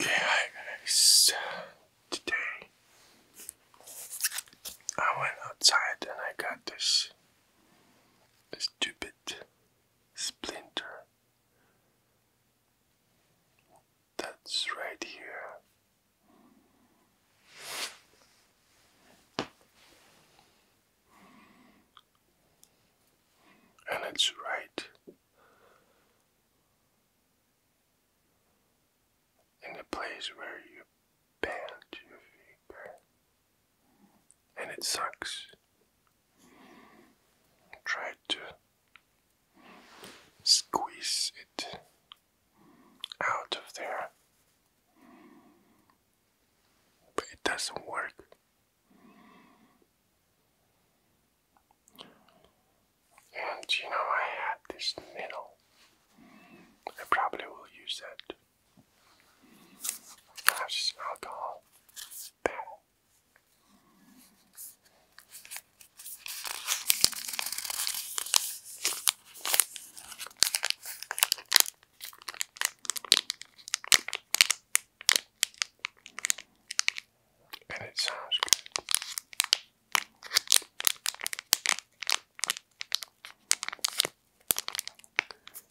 Yeah, hi guys. Today I went outside and I got this stupid splinter that's right here and it's right in the place where you bend your finger, and it sucks. Try to squeeze it out of there, but it doesn't work. And you know, I had this needle. I probably will use it as alcohol. There. And it sounds good.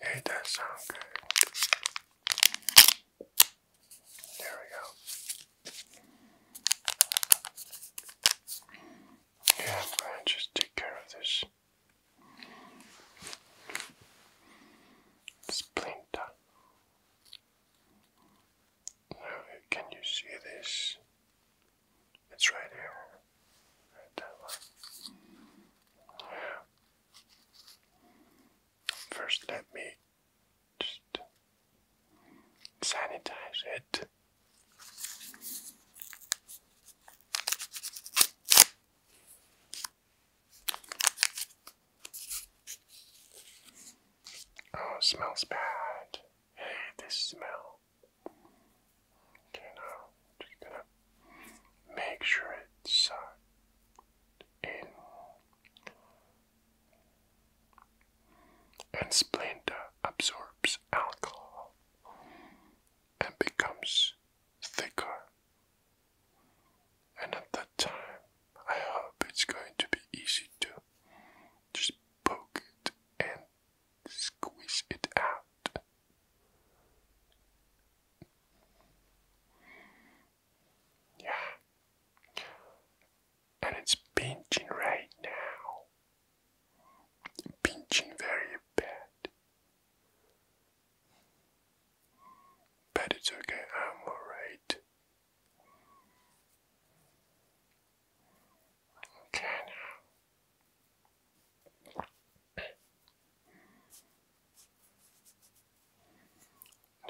Hey, that sounds good. There we go. Yeah, i just take care of this splinter. can you see this? It's right here, right that First, let me just sanitize it. Oh, smells bad. Hey, this smell. Okay, now just gonna make sure it's uh, in and Splenda absorbs alcohol and becomes thicker. And at that time, I hope it's going to be easy to just poke it and squeeze it out. Yeah. And it's pinching right now. Pinching very bad. But it's okay, I'm alright. Okay now.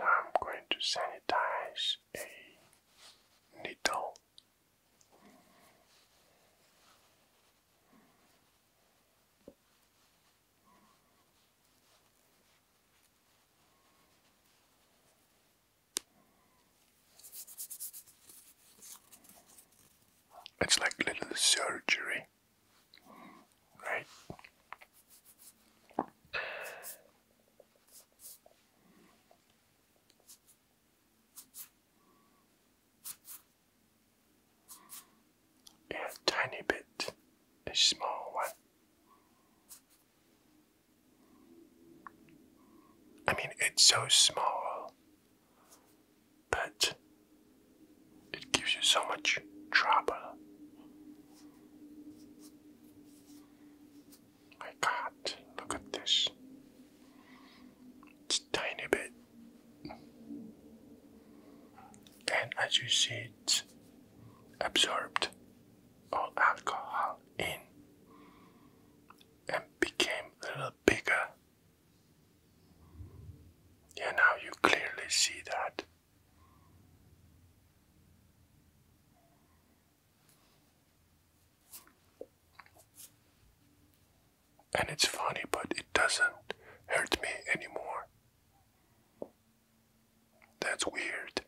I'm going to sanitize a needle. It's like little surgery, right? A tiny bit, a small one. I mean, it's so small, but it gives you so much trouble. My God, look at this. It's tiny bit. And as you see, it absorbed all alcohol in and became a little bigger. Yeah, now you clearly see that and it's funny, but it doesn't hurt me anymore. That's weird.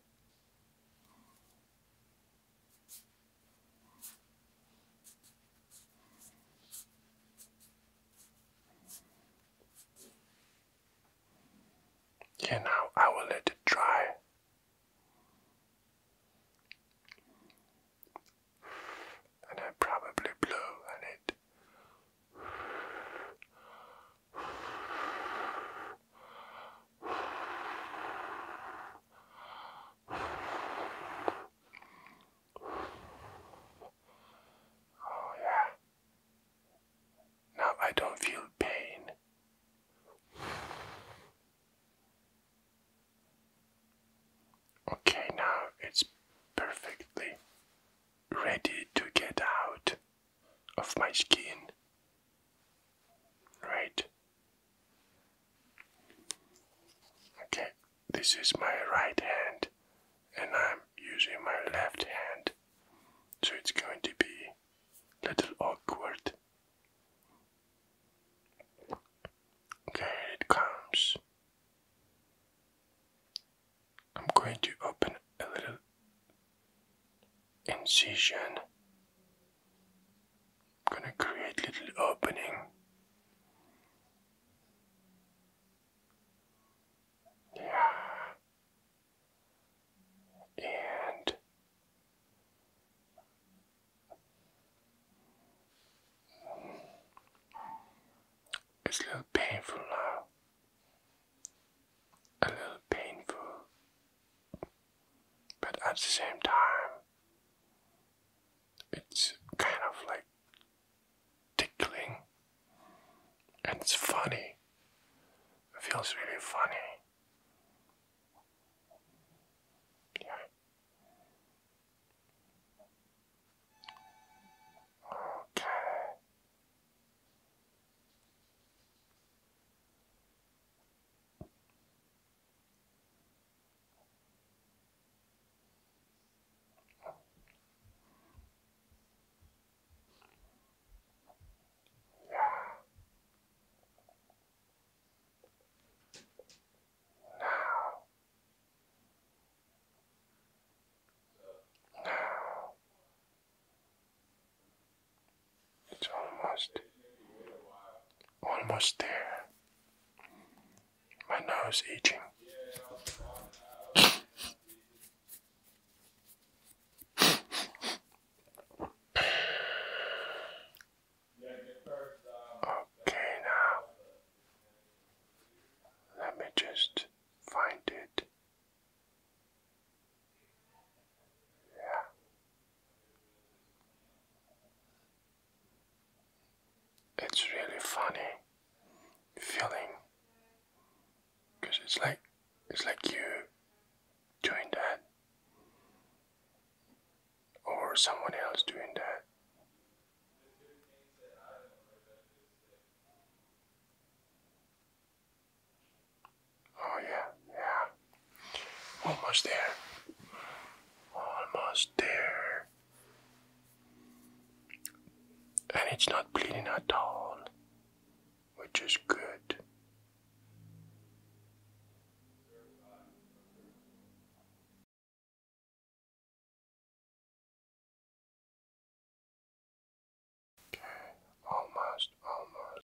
Yeah, now I will let it dry and I probably blew on it. Oh, yeah. Now I don't feel pain. Okay, now it's perfectly ready to get out of my skin. Right? Okay, this is my right hand, and I'm using my left hand, so it's going to be a little awkward. Okay, it comes. I'm going to open a little incision. I'm gonna create little opening. Yeah. And it's a little painful now. A little painful. But at the same time, it's kind of like tickling. And it's funny. It feels really funny. Yeah. Okay. Yeah. Now, now, it's almost, almost there. My nose itching. Okay, now let me just find it. Yeah. It's really funny feeling because it's like it's like you doing that or someone else doing that. Oh, yeah, yeah. Almost there. Almost there. And it's not bleeding at all which is good. Okay, almost, almost.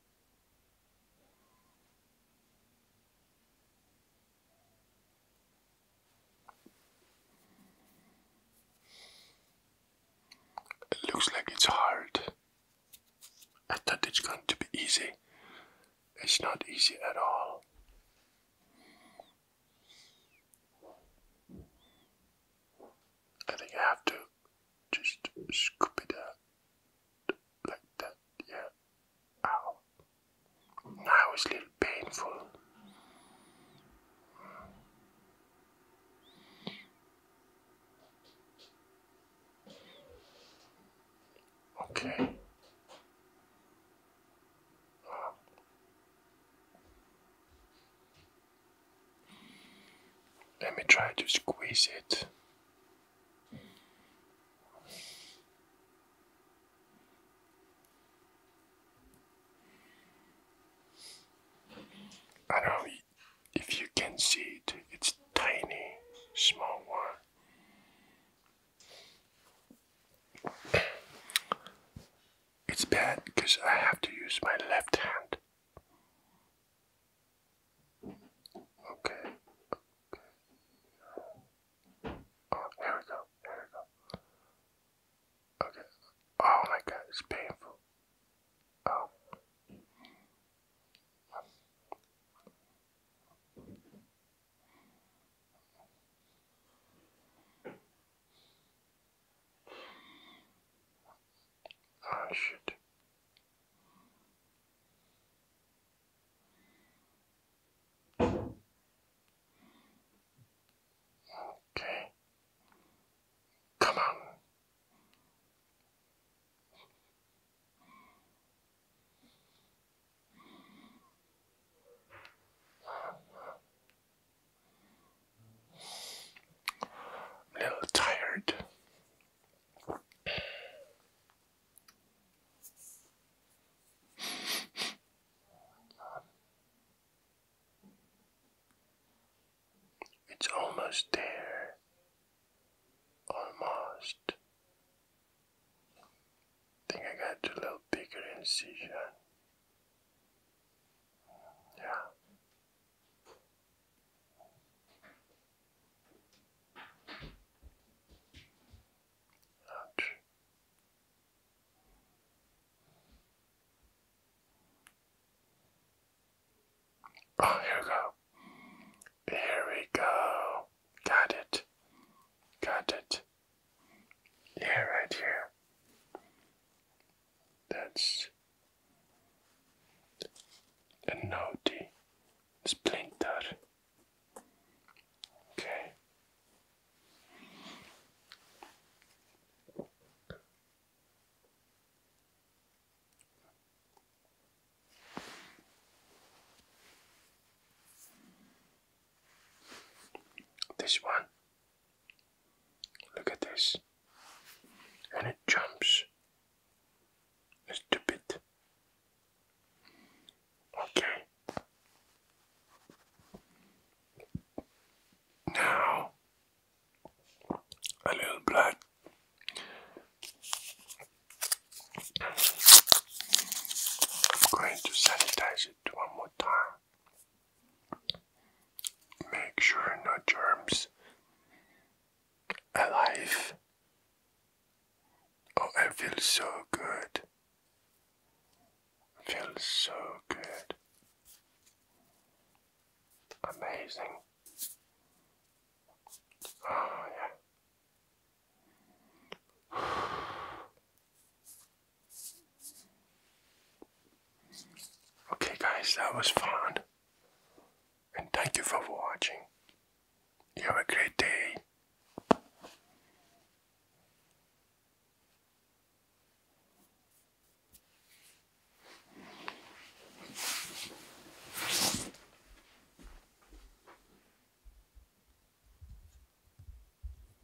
It looks like it's hard. I thought it's going to be easy. It's not easy at all. I think I have to just scoop it out like that, yeah. Ow. Now it's a little painful. Okay. Let me try to squeeze it. I don't know if you can see it, it's tiny, small one. It's bad because I have to use my left hand. Okay. Okay. Oh, here we go. Here we go. Okay. Oh my god, it's painful. Oh. I ah, should Okay. Come on. I'm a little tired. It's almost there. Almost. think I got a little bigger incision. Yeah. Ouch. Oh, here we go. Here we go. Got it. Got it. Yeah, right here. That's a naughty splinter. Okay. This one Look at this. And it jumps. Stupid. Okay. Now, a little blood. I'm going to sanitize it one more time. Make sure no germs alive. Oh, I feel so good. I so good. Amazing. Oh, yeah. Okay, guys, that was fun. And thank you for watching. have a great day.